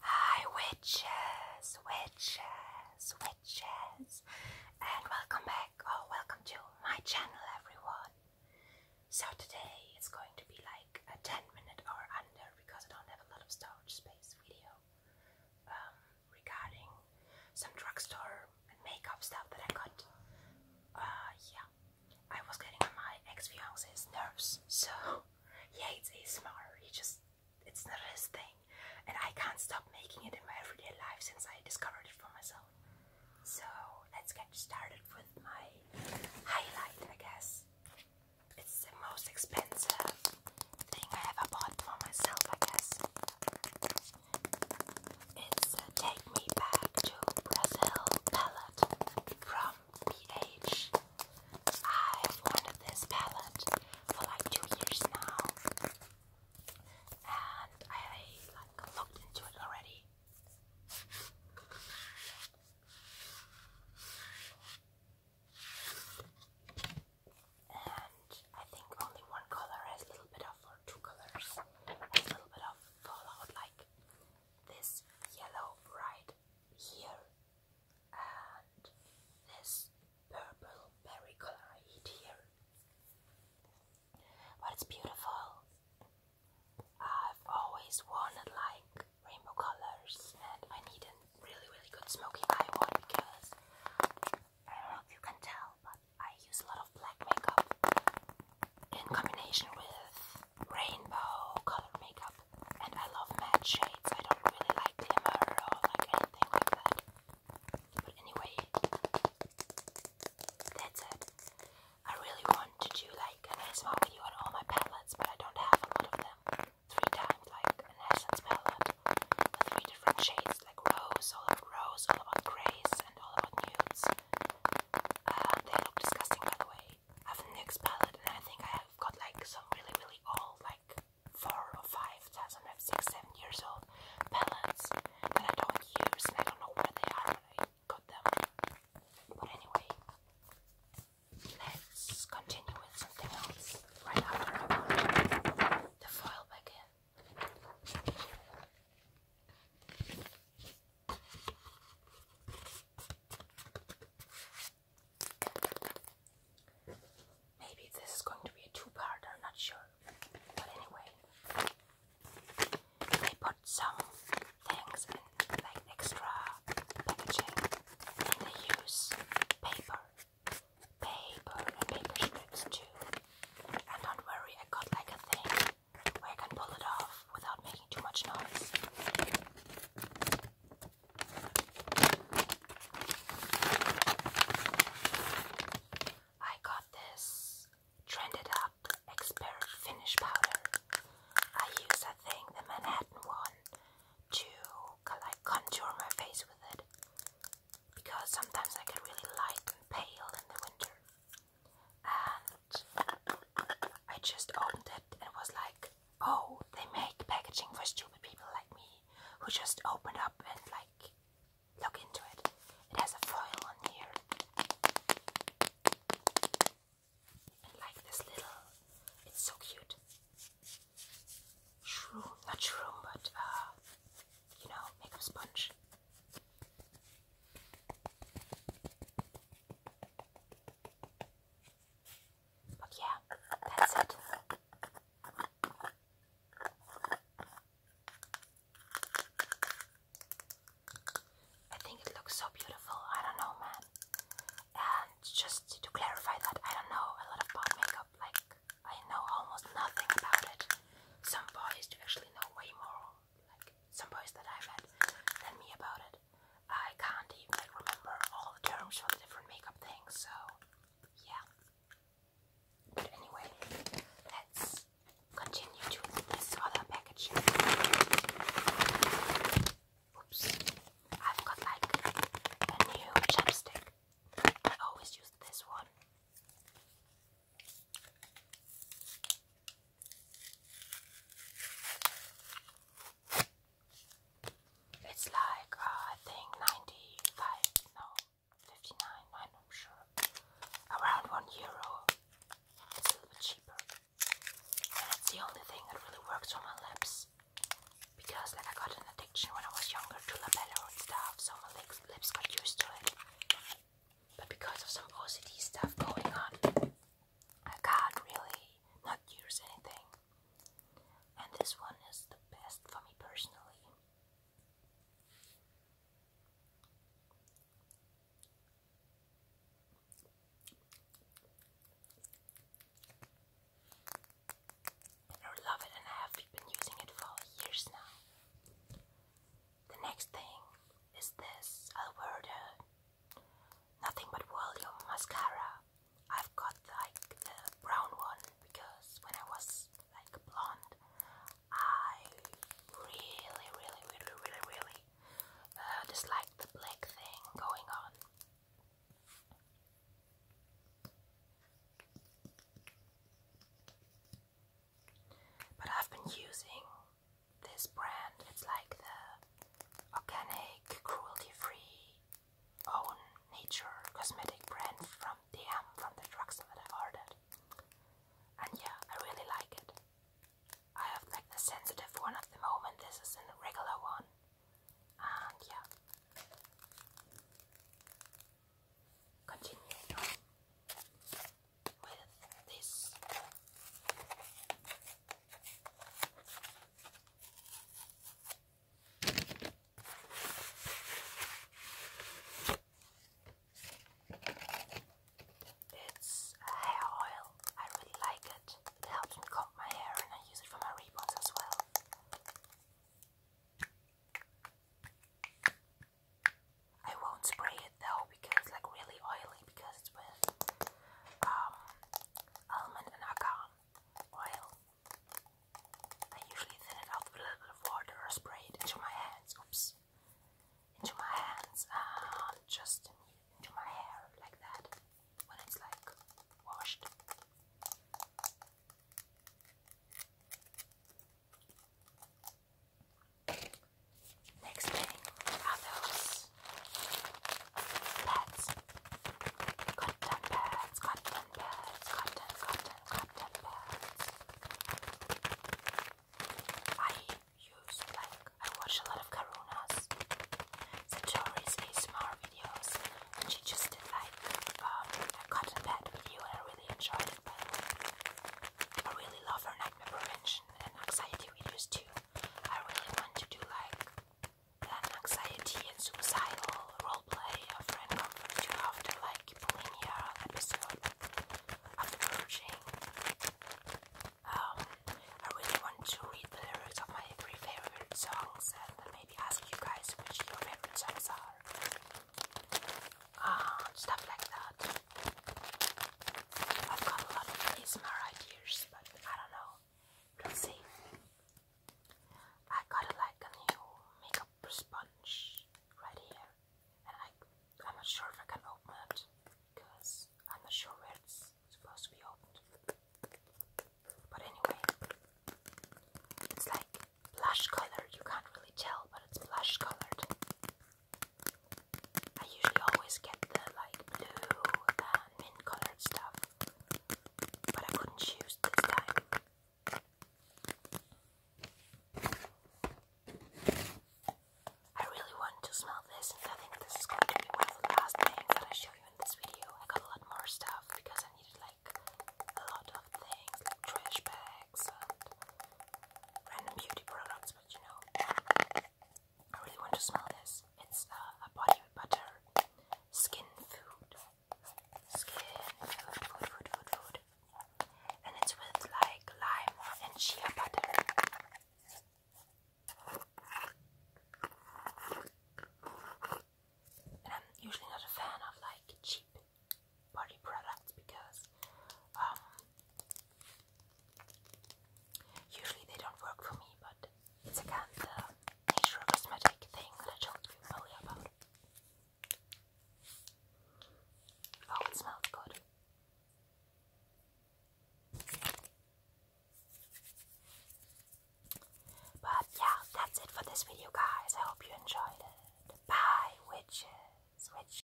Hi, witches, witches, witches, and welcome back or welcome to my channel, everyone. So, today it's going to be like a 10 minute or under because I don't have a lot of storage space video um, regarding some drugstore makeup stuff that I got. Uh, yeah, I was getting on my ex-fiance's nerves. So yeah, it's ASMR. He just it's not his thing. And I can't stop making it in my everyday life since I discovered it for myself. So let's get started with my highlight, I guess. It's the most expensive thing I ever bought for myself, I guess. It's a Take Me Back to Brazil palette from BH. I've wanted this palette for like two years now, and I like looked into it already. And I think only one color has a little bit of, or two colors, a little bit of fallout, like this yellow bright here and this purple berry color I eat here. But it's beautiful. I've always wanted like rainbow colors and I need a really really good smoky eye one because I don't know if you can tell but I use a lot of black makeup in combination with rainbow color makeup, and I love matte shades. I don't really like glimmer or like anything like that. But anyway, that's it. I really want to do like an ASMR video on all my palettes, but I don't have a of them. Three times like an essence palette three different shades, like rose, all about rose, all about grays, and all about nudes. Uh, they look disgusting by the way have a NYX palette and I think I have got like some really really old like 4 or 5, sometimes 6, 7 years old palettes that I don't use and I don't know where they are when I got them. But anyway, let's continue with something else right after the foil back Maybe this is going to be a two-parter, I'm not sure. But anyway, they put some things in like extra packaging and they use paper. Paper and paper strips too. And don't worry, I got like a thing where I can pull it off without making too much noise. I got this Trended Up Expert Finish Powder. I use, I think, the Manhattan one to like contour my face with it because sometimes I get really light and pale in the winter and I just opened it and was like, oh, they make packaging for stupid people like me who just open up and like look into it. It has a foil on here and like this little, it's so cute. Shroom, not shroom, but uh, you know, makeup sponge. But yeah, that's it. I think it looks so beautiful. I don't know, man. And just to clarify that, I don't know a lot about makeup. Like, I know almost nothing about it. Some bodies do actually know way more like some boys that I've tell me about it. I can't even like remember all the terms for the different makeup things, so yeah. anyway, let's continue to this other package. Oops. I've got like a new chapstick. I always use this one. It's like uh, I think ninety five, no, fifty nine. I'm not sure. Around one euro. It's a little bit cheaper, and it's the only thing that really works for my lips. Because like I got an addiction when I was younger to labello and stuff, so my lips, lips got used to it. But because of some OCD stuff going on, I can't really not use anything. And this one is the best for me personally. I love it and I have been using it for years now. The next thing is this Alberta Nothing but volume mascara. I've got like the brown one because when I was like blonde, I really, really, really, really, really uh, the black thing going on. But I've been using this brand. It's like the organic, cruelty-free, own nature cosmetic brand from DM um, from the drugstore that I ordered. And yeah, I really like it. I have like the sensitive one at the moment. This is a regular one. And yeah. Continuing this. It's hair oil. I really like it. It helps me comb my hair and I use it for my rebonds as well. I won't spray it though because it's like really oily because it's with um almond and akan oil. I usually thin it out with a little of water or spray it into my hands. Oops. Into my hands and um, just into my hair like that when it's like washed. Next thing are those Cotton pads, cotton pads, cotton, cotton, cotton pads. I use like I watch a lot of Karuna's Satori's ASMR videos and she just did like um, a cotton pad video and I really enjoyed it I really love her nightmare prevention and anxiety videos too. I really want to do like an anxiety and suicidal roleplay a friend comforts you after like bulimia episode after um, I really want to read the lyrics of my three favorite songs and maybe ask you guys which your favorite songs are uh, stuff like that. I've got a lot of ASMR ideas, but I don't know. Let's see. I got like a new makeup sponge right here, and I I'm not sure if I can open it because I'm not sure where it's supposed to be opened. But anyway, it's like blush color. You can't really tell, but it's blush colored. I usually always get the like blue and mint colored stuff, but I couldn't choose this time. I really want to smell this, and I think this is going to be one of the last things that I show you in this video. I got a lot more stuff because I needed like a lot of things, like trash bags random beauty products, but you know, I really want to smell this. It's uh, a body butter skin food. Skin food, food, food, food, food. And it's with like lime and shea butter. And I'm usually not a fan of like cheap body products because um Usually they don't work for me, but it's again the uh, nature of cosmetic thing that I told you earlier about. Oh, it smells good. But yeah, that's it for this video, guys. I hope you enjoyed it. Bye, witches.